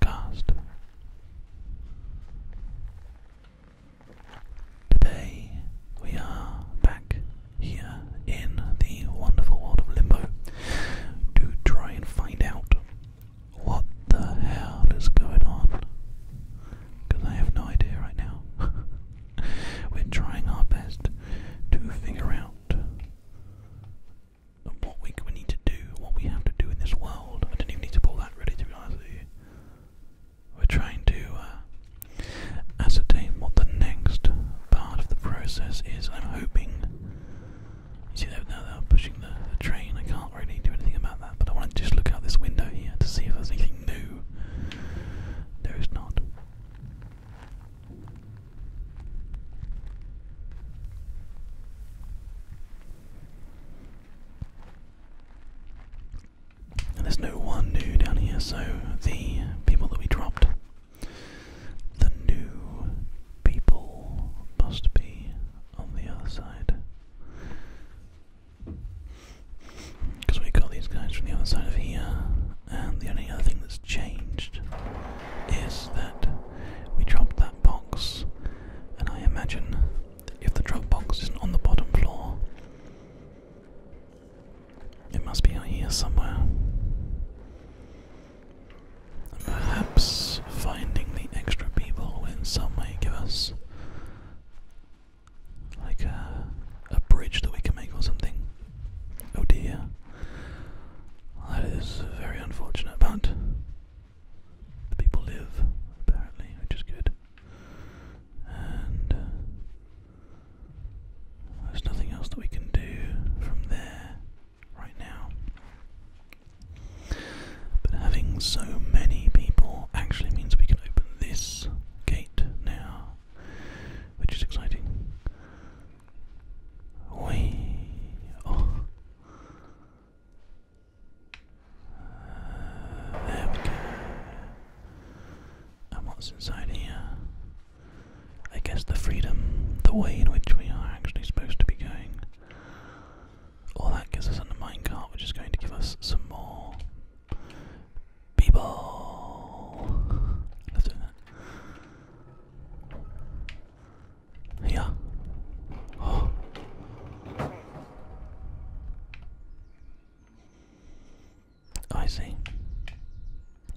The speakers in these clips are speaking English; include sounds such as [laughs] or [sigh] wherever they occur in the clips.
cast. Today we are back here in the wonderful world of Limbo to try and find out what the hell is going on. Because I have no idea right now. [laughs] We're trying our best to figure out what we, we need to do, what we have to do in this world. I didn't even need to pull that really, to be We're trying to uh, ascertain what the next part of the process is. I'm hoping. You see, that now they're pushing the train. I can't really do anything about that, but I want to just look out this window here to see if there's anything new. There is not there's no one new down here, so the people that we dropped, the new people must be on the other side. Because we got these guys from the other side of here, and the only other thing that's changed is that we dropped that box, and I imagine if the drop box isn't on the bottom floor, it must be out here somewhere. And perhaps finding the extra people will in some way give us like a, a bridge that we can make or something. Oh dear. That is very unfortunate, but the people live, apparently, which is good. And uh, there's nothing else that we can do from there right now. But having so many people actually means we can open this gate now, which is exciting. Whee! There we go. And what's inside here? I guess the freedom, the way in which we are actually supposed to be going. All that gives us a minecart, which is going to give us some more people. Let's do that. Yeah. [gasps] I see.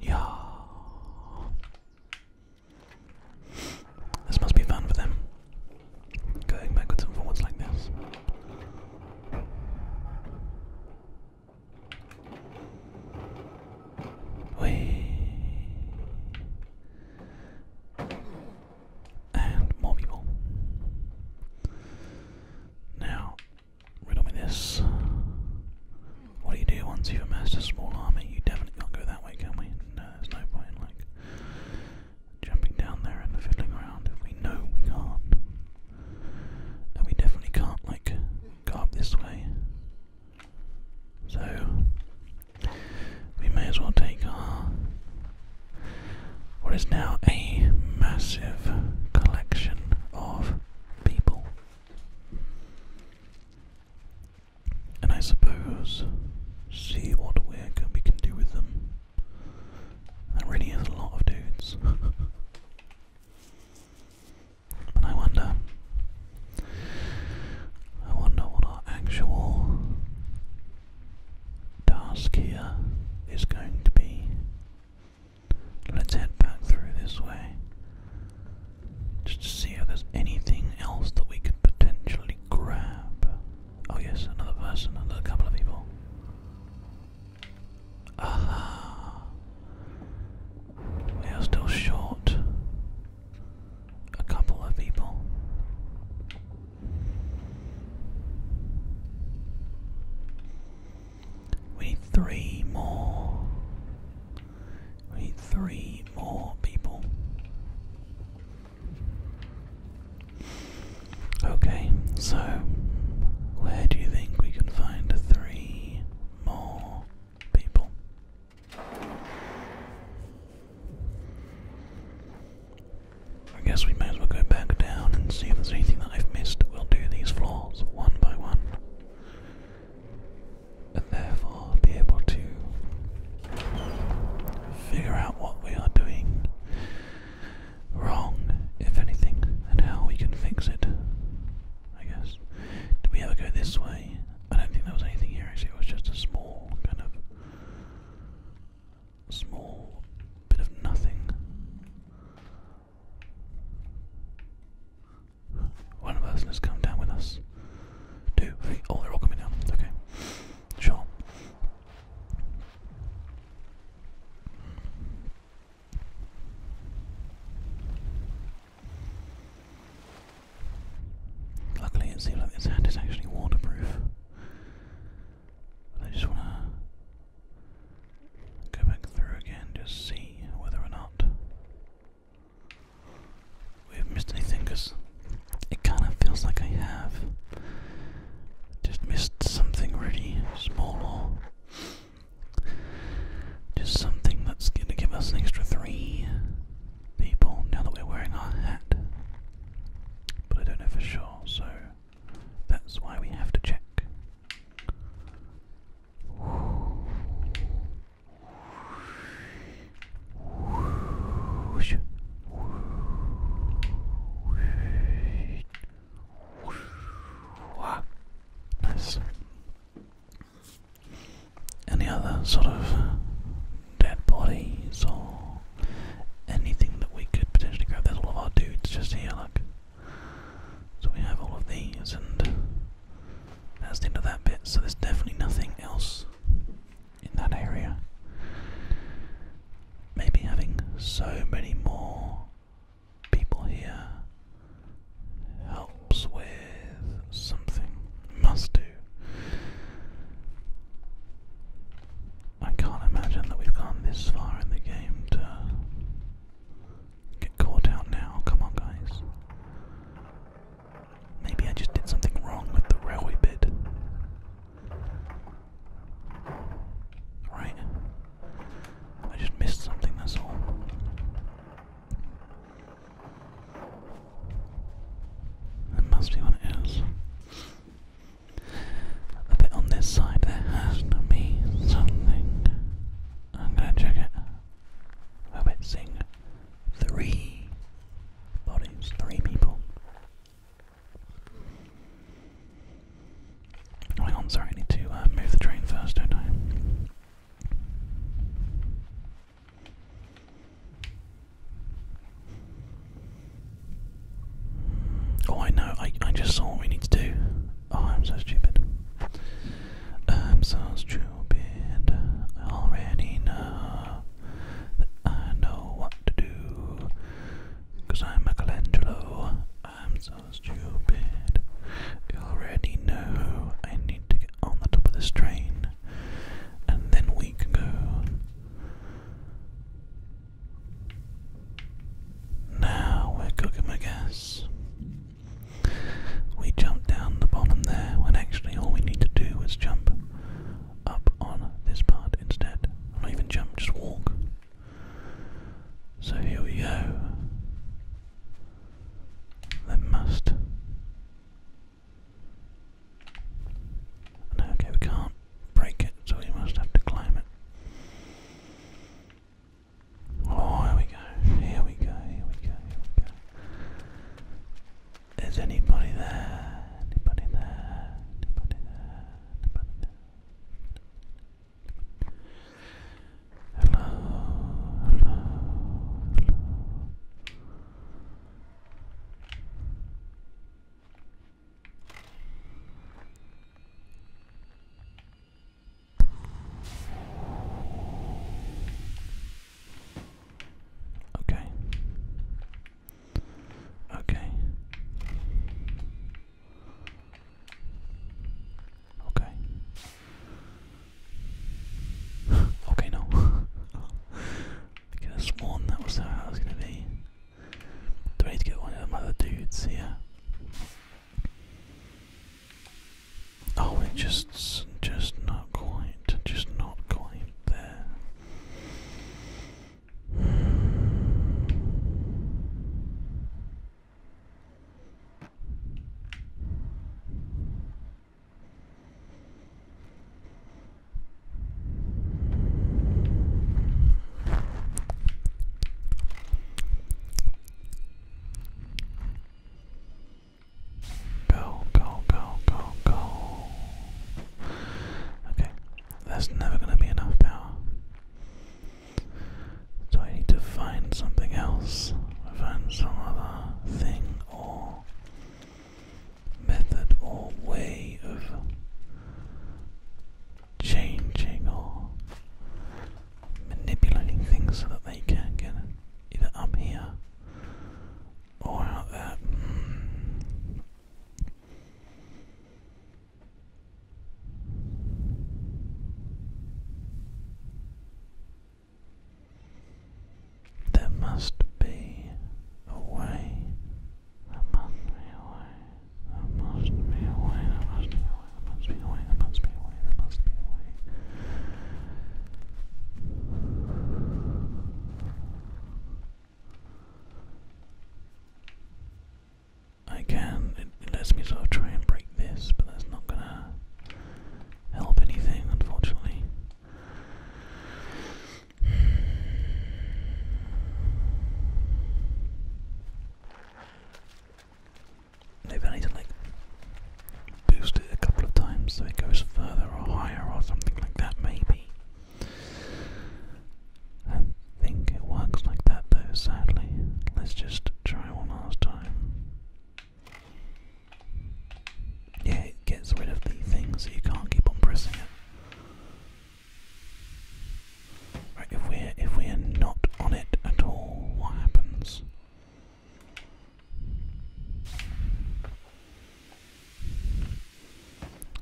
Yeah. This must be fun for them. Going backwards and forwards like this. Whee. And more people. Now, riddle me this. What do you do once you've amassed a small army? You definitely can't go that way, can we? No, there's no point like jumping down there and fiddling around we know we can't. And we definitely can't like go up this way. So we may as well take our what is now a massive collection of people. And I suppose see what work we can do with them. That really is a lot of dudes. [laughs] but I wonder I wonder what our actual task here is going to be. Let's head back through this way just to see if there's anything else that we could potentially grab. Oh, yes, another person, another couple of people. Aha! We are still short a couple of people. We need three more. We need three more people. Okay, so where do you think we can find three more people? I guess we may as well go back down and see if there's anything that I've missed. We'll do these floors one by one. And therefore be able to figure out what we are doing wrong, if anything, and how we can fix it. I guess. Did we ever go this way? I don't think there was anything here actually, it was just a small kind of small bit of nothing. One person has come down with us. Two, three, oh, they're all coming down. Okay, sure. Luckily, it seems like this hat is actually waterproof. But I just want to go back through again, just see whether or not we've missed anything, because it kind of feels like I have just missed something really small just something that's going to give us an extra three people now that we're wearing our hat. But I don't know for sure, so that's why we have to check. Any other sort of dead bodies or anything that we could potentially grab. There's all of our dudes just here, look. So we have all of these, and that's the end of that bit. So there's definitely nothing else in that area. Maybe having so many more people here helps with something. Must do. I can't imagine that we've gone this far in the game to get caught out now. Come on, guys. Maybe I just did something wrong with the railway bit. Right? I just missed something, that's all. It must be what it is. A bit on this side, there has to be something. I'm gonna check it. We're missing three bodies, three people. Hang sorry, I need to uh, move the train first, don't I? Oh, I know. I I just saw what we need to do. Oh, I'm so stupid. I'm so stupid. I already know that I know what to do. Cause I'm Michelangelo. I'm so stupid. You already know I need to get on the top of this train. And then we can go. Now we're cooking my gas. We jumped down the bottom there when actually all we need to do is jump up on this part instead. not even jump, just walk. So here we go. There must no, okay, we can't break it, so we must have to climb it. Oh, here we go, here we go, here we go, here we go. Is anybody there? Anybody there? Anybody there? Anybody there? Hello, hello, hello. Okay. Okay. Okay. [laughs] okay, no. [laughs] I could have that was how it was going to be. Do I need to get one of them other dudes here? Oh, it just, just not quite, just not quite there. Go, go, go, go, go. Okay, that's never going to be enough power. So I need to find something else. Find some other thing or method or way of changing or manipulating things so that they can get either up here or out there. There must be a way there must be a way. must be a way. must be a way. must be a way. must be a I can. It lets me sort of try and break this, but that's not gonna help anything, unfortunately. Maybe I need like boost it a couple of times so it goes further or higher or something like that, maybe. I think it works like that though, sadly. Let's just try one last time. Yeah, it gets rid of the thing so you can't keep on pressing it if we're if we're not on it at all, what happens?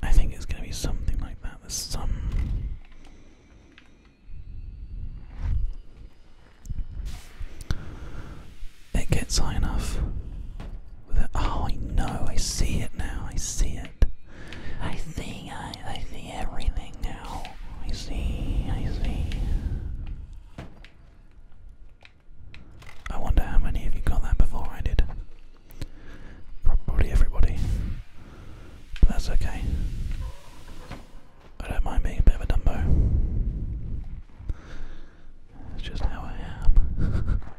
I think it's going to be something like that. There's some. It gets high enough. oh, I I see it now. I see it. I see, I, I see everything now. I see, I see. I wonder how many of you got that before I did. Probably everybody. But that's okay. I don't mind being a bit of a dumbo. That's just how I am. [laughs]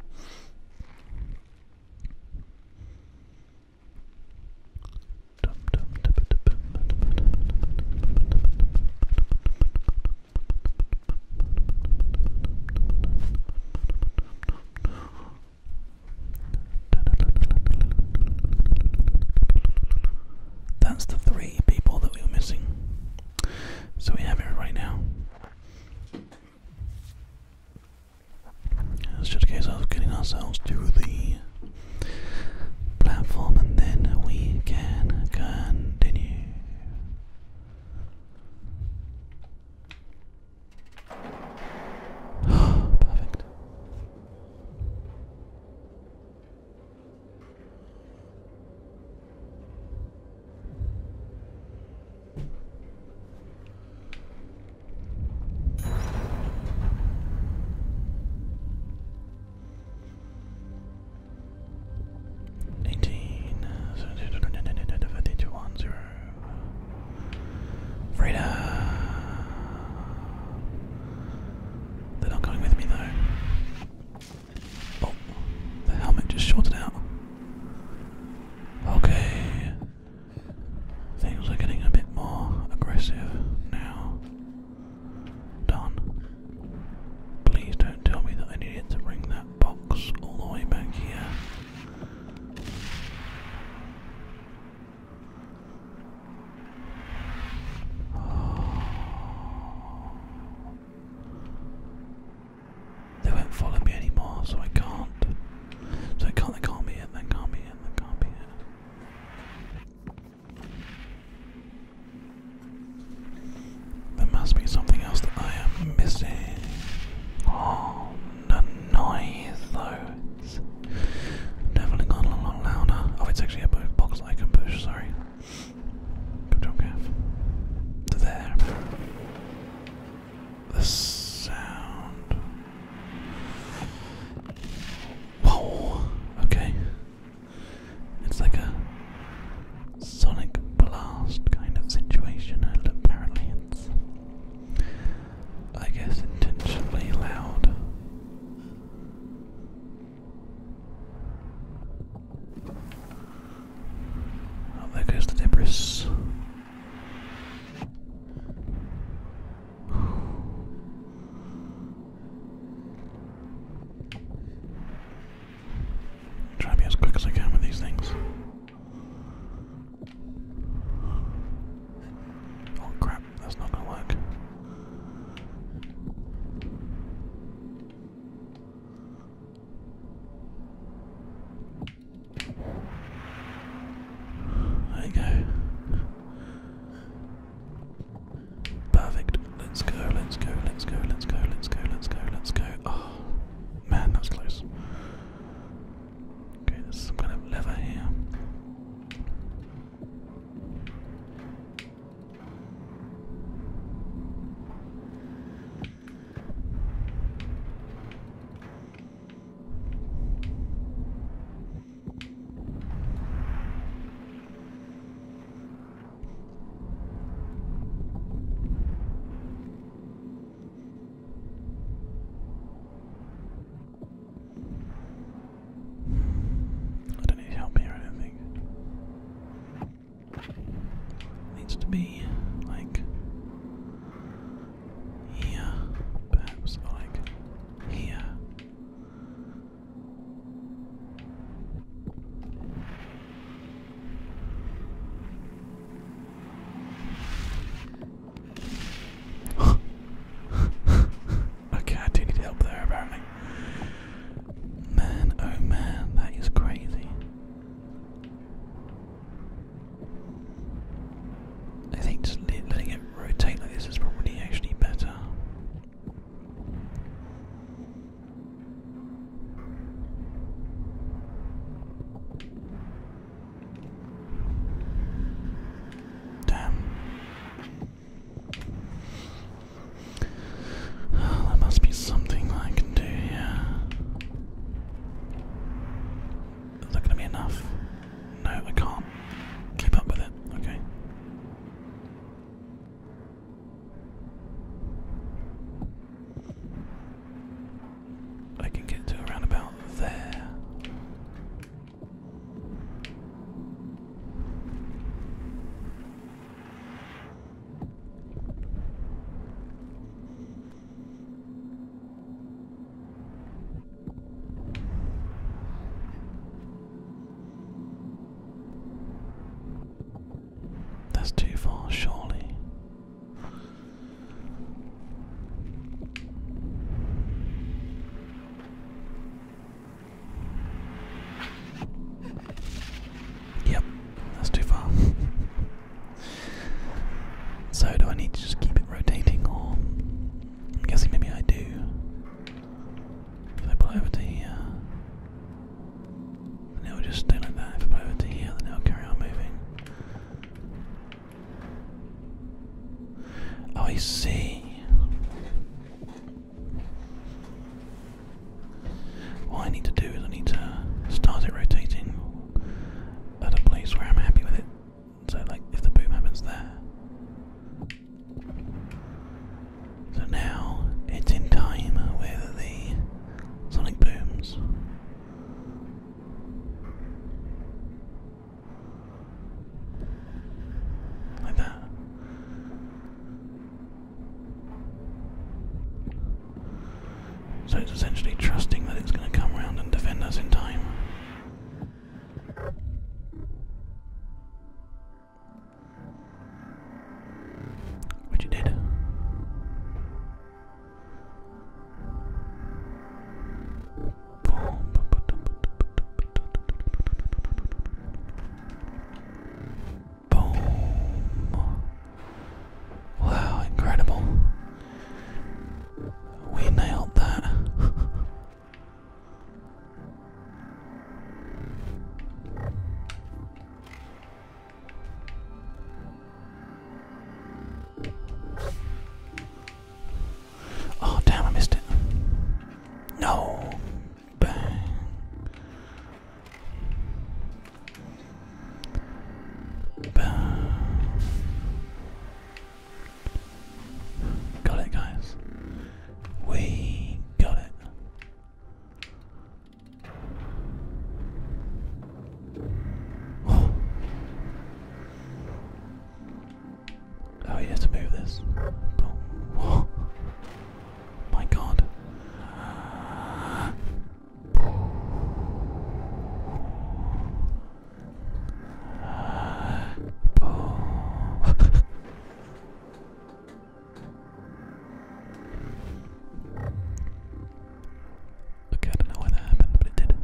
That's the three people that we were missing. So we have it right now. It's just a case of getting ourselves to the platform and then we can continue. [gasps] Perfect. Eighteen, fifty-two, one zero. Freedom. They're not going with me though. Oh, the helmet just shorted out. Okay. Things are getting a bit more aggressive now. Done. Please don't tell me that I needed to bring that box all the way back here. They won't follow me anymore, so I can't. So they can't, be it, they can't be it, they can't be it. There must be something else that I am missing. Oh, the noise those. Definitely gone a lot louder. Oh, it's actually a box that I can push, sorry. Good job, To there the sound. Whoa! Okay. It's like a sonic blast kind of situation, apparently it's, I guess, intentionally loud. there goes the Debris. Try to be as quick as I can with these things. Oh crap, that's not gonna work. There you go. Perfect. Let's go, let's go, let's go, let's go, let's go, let's go, let's go. Oh, man, that was close. Okay, there's some kind of lever here. I don't need help here, I think. Needs to be like here, perhaps like here. [laughs] okay, I do need help there, apparently. Man, oh man, that is crazy. I think just letting it rotate like this is probably actually better. Damn. [sighs] there must be something I can do here. Is that going to be enough? No, I can't keep up with it. Okay. I can get to around about there. That's too far, surely. Yep, that's too far. [laughs] so, do I need to just keep it rotating I'm guessing maybe I do. If I pull over to here, it will just stay like that. If I pull over to here, then it will carry on moving. Oh, I see. What I need to do is I need to start it rotating at a place where I'm happy with it so like if the boom happens there. So now it's in time with the sonic booms. Like that. So it's essentially trusting that it's going to come around and defend us in time. What you did? Boom. Wow, incredible. We nailed that. [laughs] Oh, damn, I missed it. No. Bang. Bang. Got it, guys. We got it. Oh, oh you have to move this. [gasps] my God. Okay, I don't know why that happened, but it did.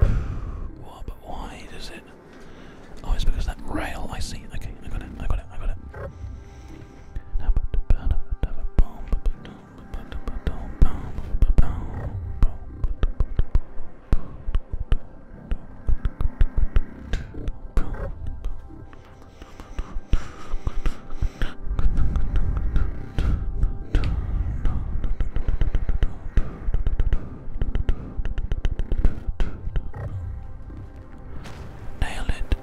But why does it? Oh, it's because that rail. I see. Okay, I got it. I got it. I got it. Nail it.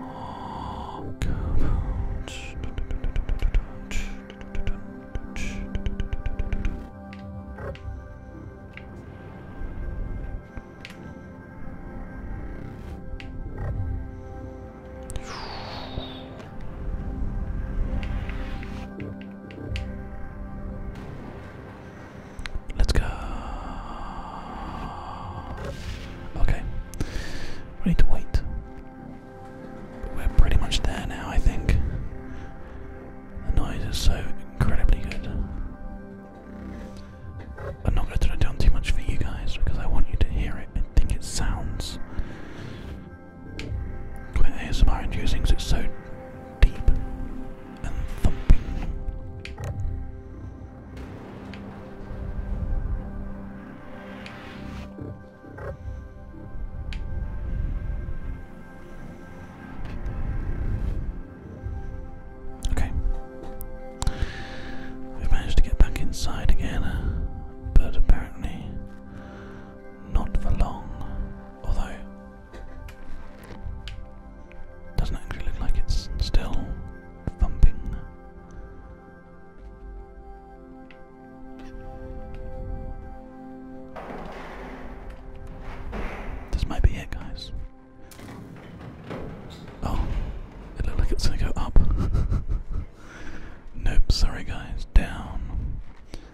Oh, come on. Let's go. Okay. We need to wait. we're pretty much there now, I think. The noise is so incredibly good. I'm not going to turn it down too much for you guys because I want you to hear it. I think it sounds when ASMR inducing it's so deep and thumping. Okay. we managed to get back inside again, but apparently not for long. Although doesn't actually look like it's still thumping. This might be it, guys. Oh, it looked like it's gonna go up. [laughs] nope, sorry, guys, down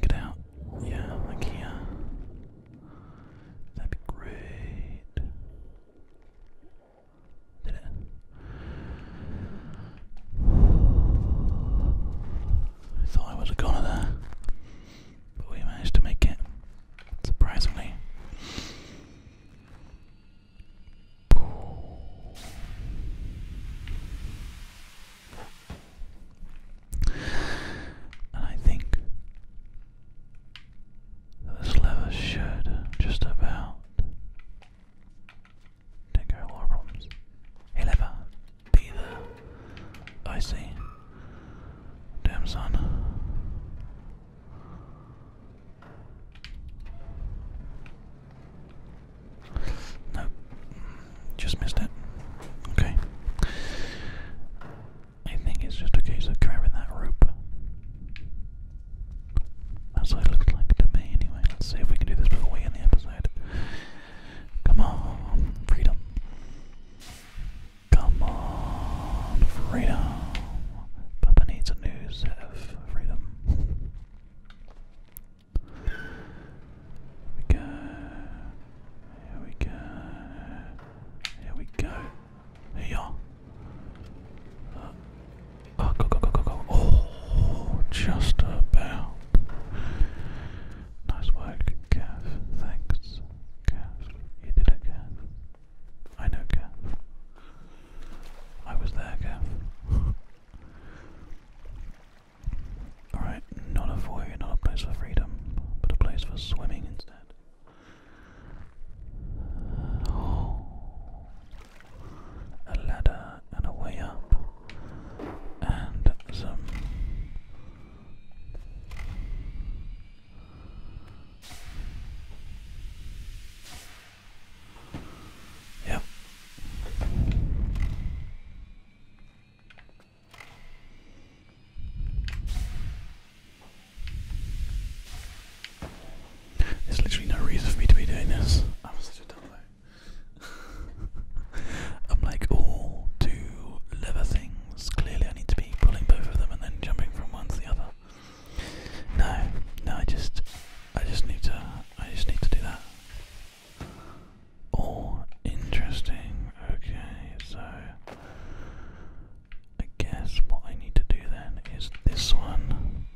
get out? Yeah, like That'd be great. Did it? I thought I would have gone there, but we managed to make it. Surprisingly. And I think this lever should just about take care of all problems. lever, be there. I see. Damn son. No, just missed it. Okay. I think it's just a case of grabbing that rope. That's what it looks like to me, anyway. Let's see if we can do this before we end the episode. Come on, freedom. Come on, freedom. Papa needs a new of freedom we go. Here we go. Here we go. Here you are. Uh, oh, oh, just about. Nice work, Gav. Thanks, Gav. You did it, Gav. I know, Gav. I was there, Gav. Alright, not a void, not a place for freedom, but a place for swimming instead. Oh. A ladder and a way up, and some. Yep. There's literally no reason for me to be doing this. I'm such a dumbo. [laughs] I'm like all oh, two lever things. Clearly, I need to be pulling both of them and then jumping from one to the other. No, no, I just, I just need to, I just need to do that. Oh, interesting. Okay, so I guess what I need to do then is this one,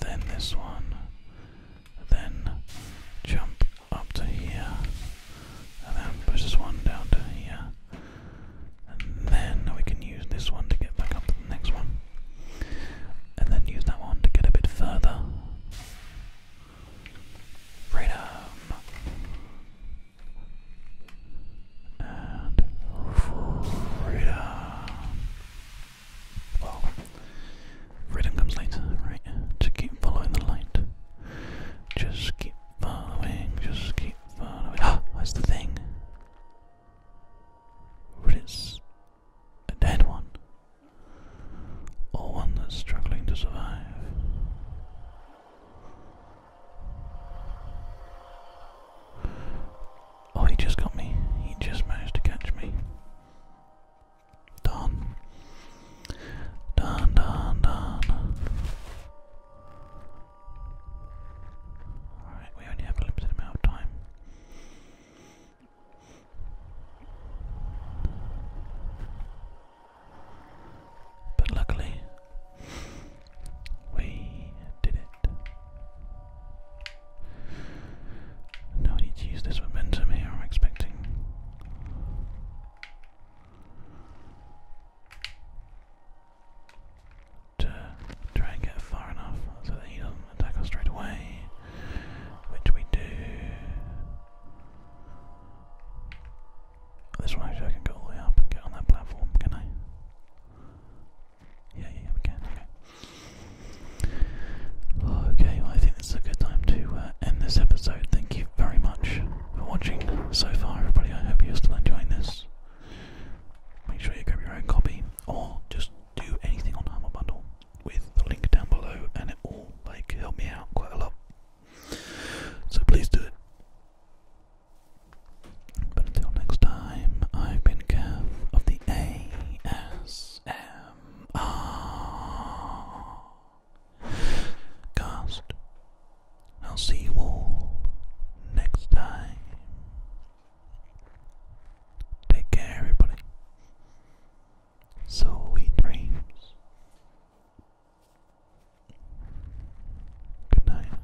then this one, then jump up to here, and then push this one down to here, and then we can use this one to get back up to the next one, and then use that one to get a bit further. Freedom and freedom. Well, freedom comes later, right? Just keep following the light. Just keep following. Just keep following. Ah, that's the thing. But it's a dead one or one that's struggling to survive. Oh, he just got me. He just managed to catch me. Darn. Darn, darn, darn. Alright, we only have a limited amount of time. But luckily, we did it. Now I need to use this momentum here, I'm expecting. To try and get far enough so that he doesn't attack us straight away, which we do. This one actually I can go all the way up and get on that platform, can I? Yeah, yeah, we can, okay. I think this is a good time to uh, end this episode. Thank you very much for watching so far, everybody. I hope you're still enjoying this. Make sure you grab your own copy, or just do anything on Humble Bundle with the link down below, and it will like help me out quite a lot. So please do it. But until next time, I've been Gav of the ASMR cast. I'll see you all next time. Take care, everybody so he dreams. Good night.